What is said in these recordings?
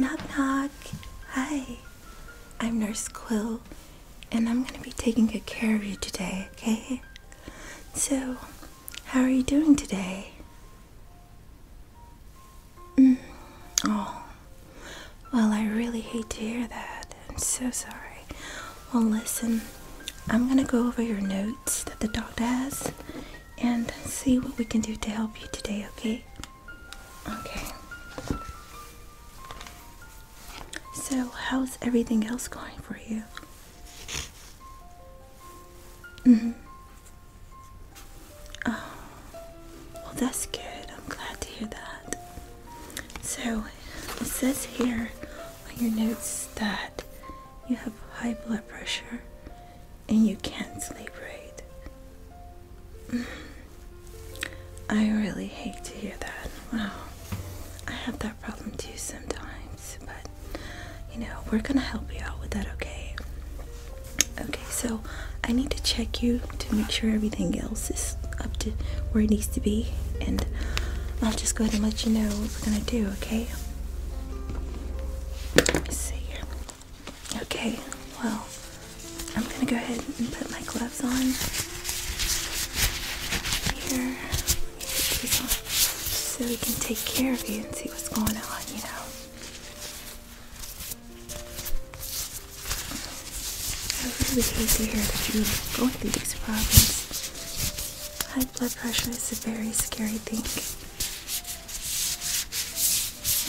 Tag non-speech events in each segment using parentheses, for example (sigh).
Knock knock. Hi. I'm Nurse Quill and I'm going to be taking good care of you today, okay? So, how are you doing today? Mm, oh. Well, I really hate to hear that. I'm so sorry. Well, listen. I'm going to go over your notes that the doctor has and see what we can do to help you today, okay? Okay. So, how's everything else going for you? Mm hmm. Oh, well, that's good. I'm glad to hear that. So, it says here on your notes that you have high blood pressure and you can't sleep right. Mm. I really hate to hear that. Wow. I have that problem too sometimes, but you know, we're gonna help you out with that, okay? Okay, so I need to check you to make sure everything else is up to where it needs to be, and I'll just go ahead and let you know what we're gonna do, okay? Let's see. Okay, well, I'm gonna go ahead and put my gloves on. Here, so we can take care of you and see what's going on, you know. I really hate to hear that you're going through these problems blood pressure is a very scary thing.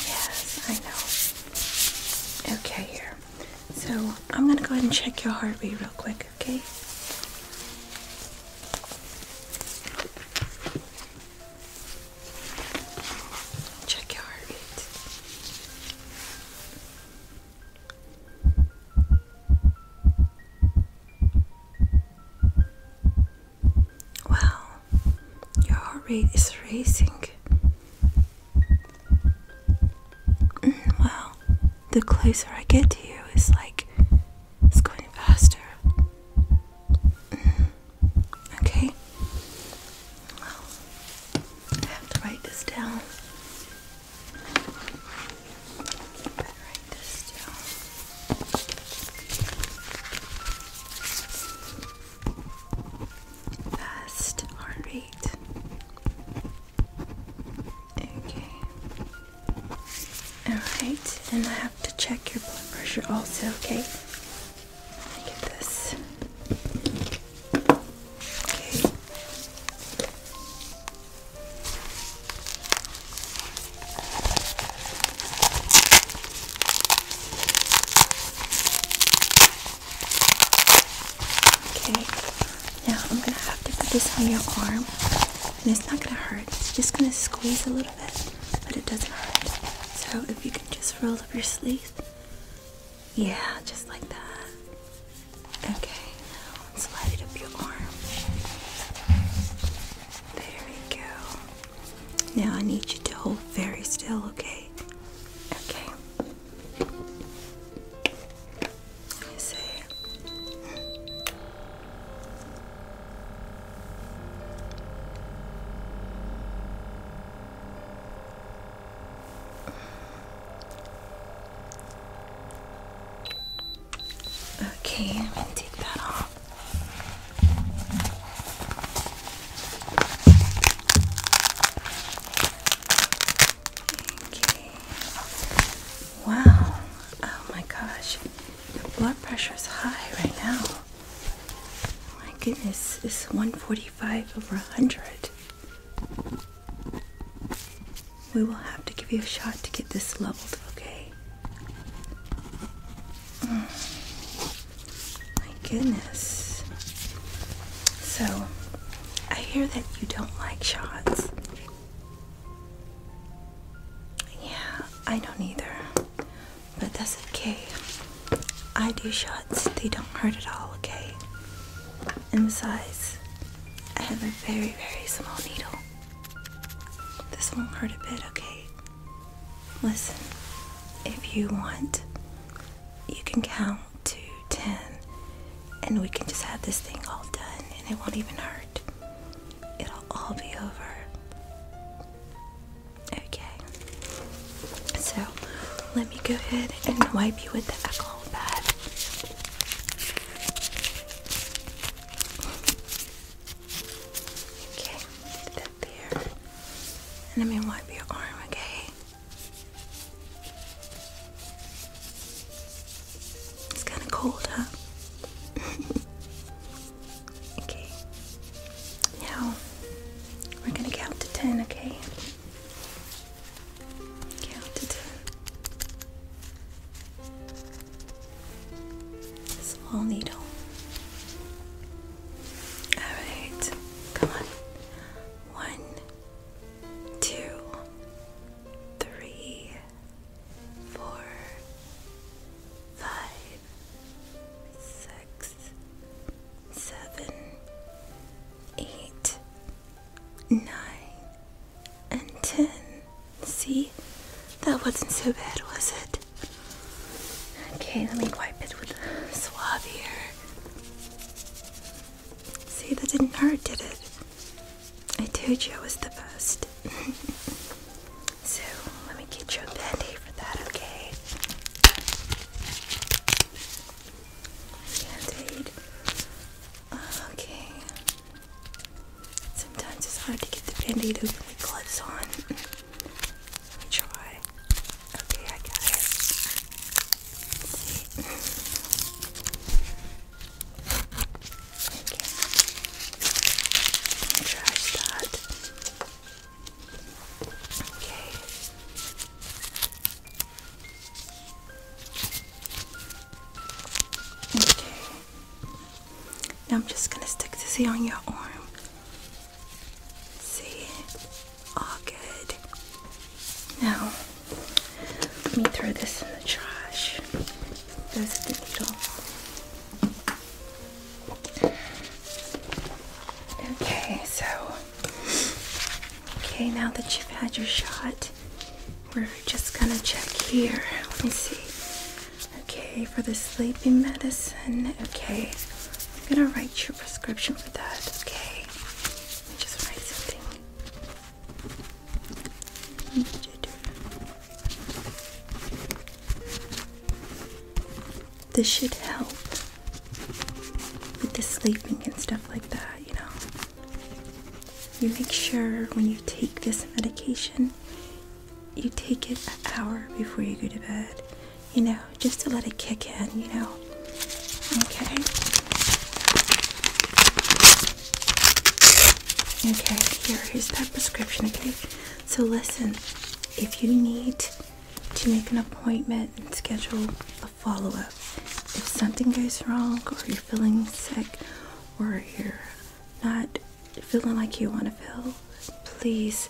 Yes, I know. Okay, here. So I'm gonna go ahead and check your heart rate real quick, okay? Check your heart well, your heart rate is racing. Mm, well, the closer I get to you, it's like it's going faster. Mm, okay. Well, I have to write this down. Fast heart rate. Okay. Alright, and I have to check your blood pressure also, okay? Let get this. Okay. Okay, now I'm gonna have to put this on your arm, and it's not gonna hurt. It's just gonna squeeze a little bit, but it doesn't hurt. So if you can just roll up your sleeve, yeah, just like that. Okay, now up your arm. There we go. Now I need you to hold very still, okay? Okay. say Okay, I'm gonna take that off. Okay. Wow. Oh my gosh. Your blood pressure is high right now. my goodness. It's 145 over 100. We will have to give you a shot to get this leveled, okay? Mm. My goodness. So, I hear that you don't like shots. Yeah, I don't either. But that's okay. I do shots, they don't hurt at all, okay? in size. I have a very, very small needle. This won't hurt a bit, okay? Listen, if you want, you can count to 10 and we can just have this thing all done and it won't even hurt. It'll all be over. Okay. So, let me go ahead and wipe you with the alcohol pad. Okay, get that there. And let me wipe your arm, okay? It's kind of cold, huh? (laughs) okay. Now, we're gonna count to ten, okay? count to ten. Small needle. Alright, come on. One, two, three, four, five, six six, seven, eight, nine, and ten. See? That wasn't so bad, was it? Okay, let me wipe it with a swab here. See, that didn't hurt, did it? I told you I was the best. (laughs) so, let me get you a for that, okay? Band-aid. Okay. Sometimes it's hard to get the band-aid open with gloves on. Let me try. Okay, I got it. Okay. that. Okay. Okay. Now I'm just gonna stick this here on your arm. See? All good. Now let me throw this in the trash. There's the needle. Okay, so Okay, now that you've had your shot, we're just gonna check here. Let me see. Okay, for the sleeping medicine. Okay, I'm gonna write your prescription for that. Okay, just write something. This should help with the sleeping and stuff like that, you know. You make sure when you take this medication, you take it an hour before you go to bed, you know, just to let it kick in, you know. Okay. Okay, here is that prescription, okay? So listen, if you need to make an appointment and schedule a follow up. If something goes wrong, or you're feeling sick, or you're not feeling like you want to feel, please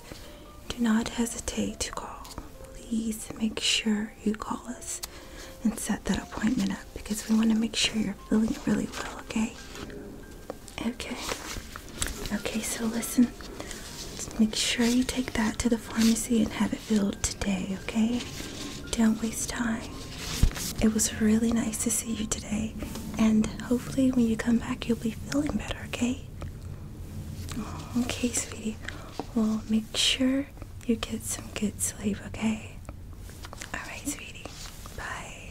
do not hesitate to call. Please make sure you call us and set that appointment up because we want to make sure you're feeling really well, okay? Okay. Okay, so listen. make sure you take that to the pharmacy and have it filled today, okay? Don't waste time. It was really nice to see you today, and hopefully, when you come back, you'll be feeling better, okay? Okay, sweetie. Well, make sure you get some good sleep, okay? Alright, sweetie. Bye.